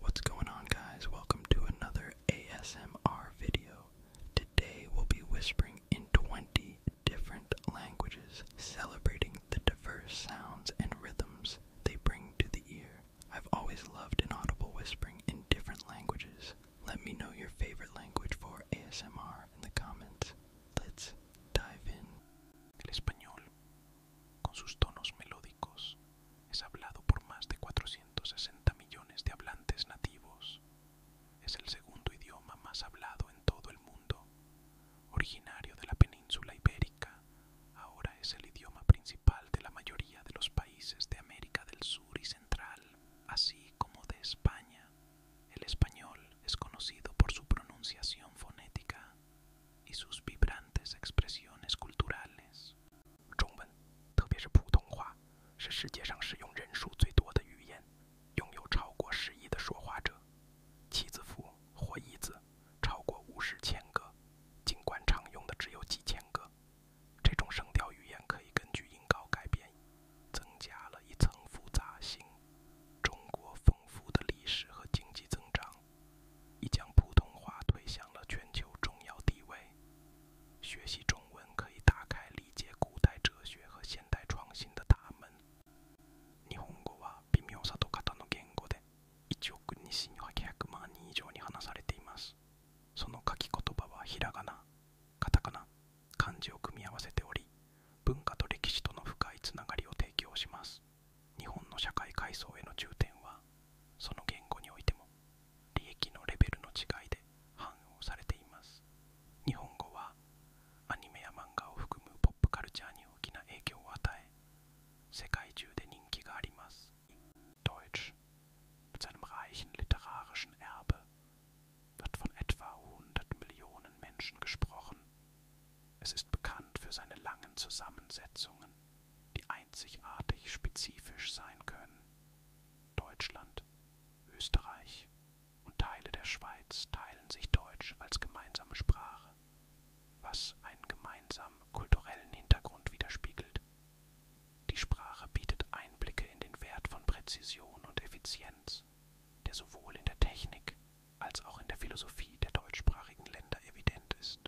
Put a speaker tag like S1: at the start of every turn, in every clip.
S1: What's going on guys? Welcome to another ASMR video. Today we'll be whispering in 20 different languages, celebrating the diverse sounds and rhythms they bring to the ear. I've always loved inaudible whispering in different languages. Let me know your favorite language for ASMR in the comments. Let's dive in. con sus
S2: tonos melódicos, es hablado por más de 460 millones de hablantes nativos. Es el segundo idioma más hablado en todo el mundo. Originario de la península ibérica, ahora es el idioma principal de la mayoría de los países de América del Sur y Central, así como de España. El español es conocido por su pronunciación fonética y sus vibrantes expresiones culturales. 中文，特别是普通话，是世界上使用人数最多的语言，拥有超过十亿的说话者。妻字符或一字超过五十千个，尽管常用的只有几千个。这种声调语言可以根据音高改变，增加了一层复杂性。中国丰富的历史和经济增长。已将普通话推向了全球重要地位。学习中文可以理解古代哲学和代创新的大门。日本語は微妙さと型の言語で1億2800万人以上に話されています。その書き言葉はひらがな、カタカナ、漢字を組み合わせており、文化と歴史との深いつながりを提供します。日本の社会階層への重点ははその言語においても利益のレベルの違いで反応されています日本語はアニメや漫画を含むポップカルチャーに大きな影響を与え世界中で人気があります Deutsch mit seinem reichen literarischen Erbe wird von etwa 100 Millionen Menschen gesprochen. Es ist bekannt für seine langen Zusammensetzungen die einzigartig spezifisch sein können. Deutschland, Österreich und Teile der Schweiz teilen sich Deutsch als gemeinsame Sprache, was einen gemeinsamen kulturellen Hintergrund widerspiegelt. Die Sprache bietet Einblicke in den Wert von Präzision und Effizienz, der sowohl in der Technik als auch in der Philosophie der deutschsprachigen Länder evident ist.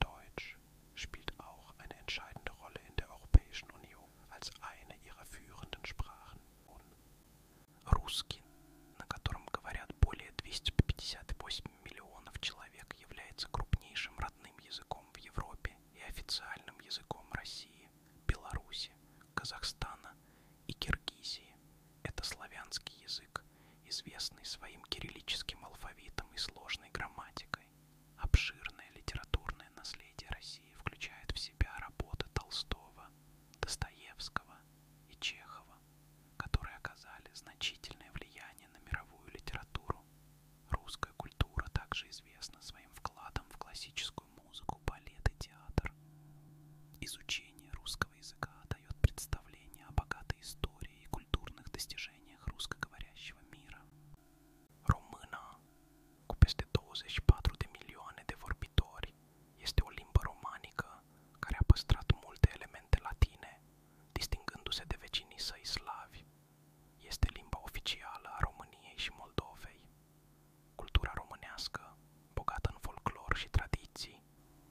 S2: Deutsch spielt auch eine entscheidende Rolle in der Europäischen Union als eine ihrer führenden Sprachen. Русский, на котором говорят более 258 миллионов человек, является крупнейшим родным языком в Европе и официальным языком России, Беларуси, Казахстана и Киргизии. Это славянский язык, известный своим кириллическим алфавитом и сложной грамматикой. Обширное литературное наследие России включает в себя работы Толстого, Достоевского и Чехова, которые оказали значительное влияние на мировую литературу. Русская культура также известна своим вкладом в классическую музыку, балет и театр. Изучение русского языка дает представление о богатой истории и Româna, cu 24 de milioane de vorbitori, este o limbă romanică care a păstrat multe elemente latine, distingându-se de vecinii săi slavi. Este limba oficială a României și Moldovei. Cultura românească, bogată în folclor și tradiții,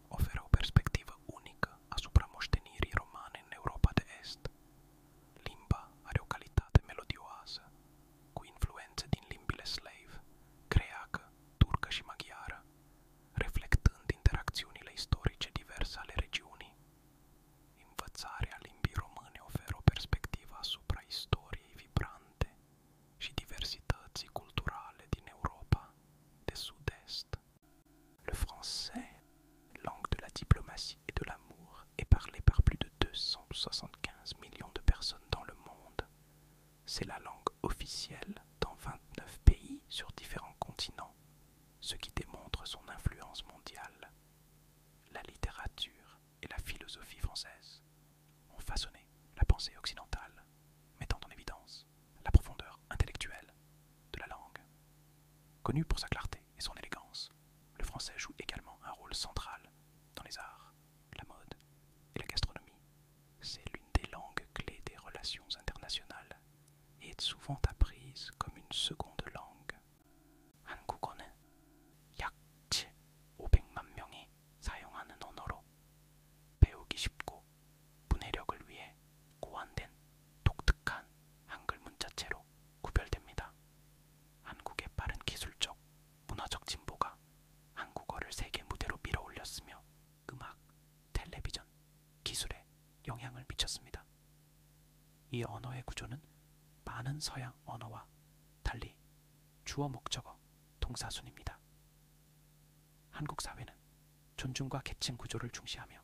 S2: oferă o perspectivă unică asupra moștenirii romane în Europa de Est. Limba are o calitate melodioasă, cu influențe din limbile slave, creacă, turcă și maghiară, reflectând interacțiunile istorice diverse ale regiunii. Învățarea limbii române oferă perspectivă asupra istoriei vibrante și diversității culturale din Europa de sud-est. Le français, langue de la diplomatie et de l'amour, est parlé par plus de 275 millions de personnes dans le monde. C'est la langue officielle dans 29 pays sur différents continents, ce qui démontre son influence mondiale. La littérature et la philosophie françaises ont façonné la pensée occidentale, mettant en évidence la profondeur intellectuelle de la langue. Connu pour sa clarté et son élégance, le français joue également un rôle central dans les arts, la mode et la gastronomie. C'est l'une des langues clés des relations internationales et est souvent apprise comme une seconde langue. 사용하는 언어로 배우기 쉽고 위해 고안된 독특한 한글 문자체로 구별됩니다. 한국의 빠른 기술적, 문화적 진보가 한국어를 세계 무대로 밀어올렸으며 음악, 텔레비전, 기술에 영향을 미쳤습니다. 이 언어의 구조는 많은 서양 언어와 달리 주어 목적어 동사순입니다. 한국 사회는 존중과 계층 구조를 중시하며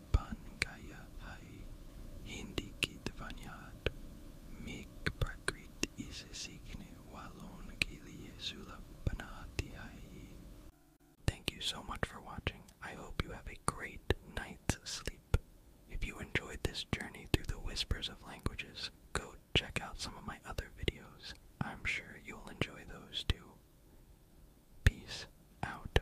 S1: Thank you so much for watching. I hope you have a great night's sleep. If you enjoyed this journey through the whispers of languages, go check out some of my other videos. I'm sure you'll enjoy those too. Peace out.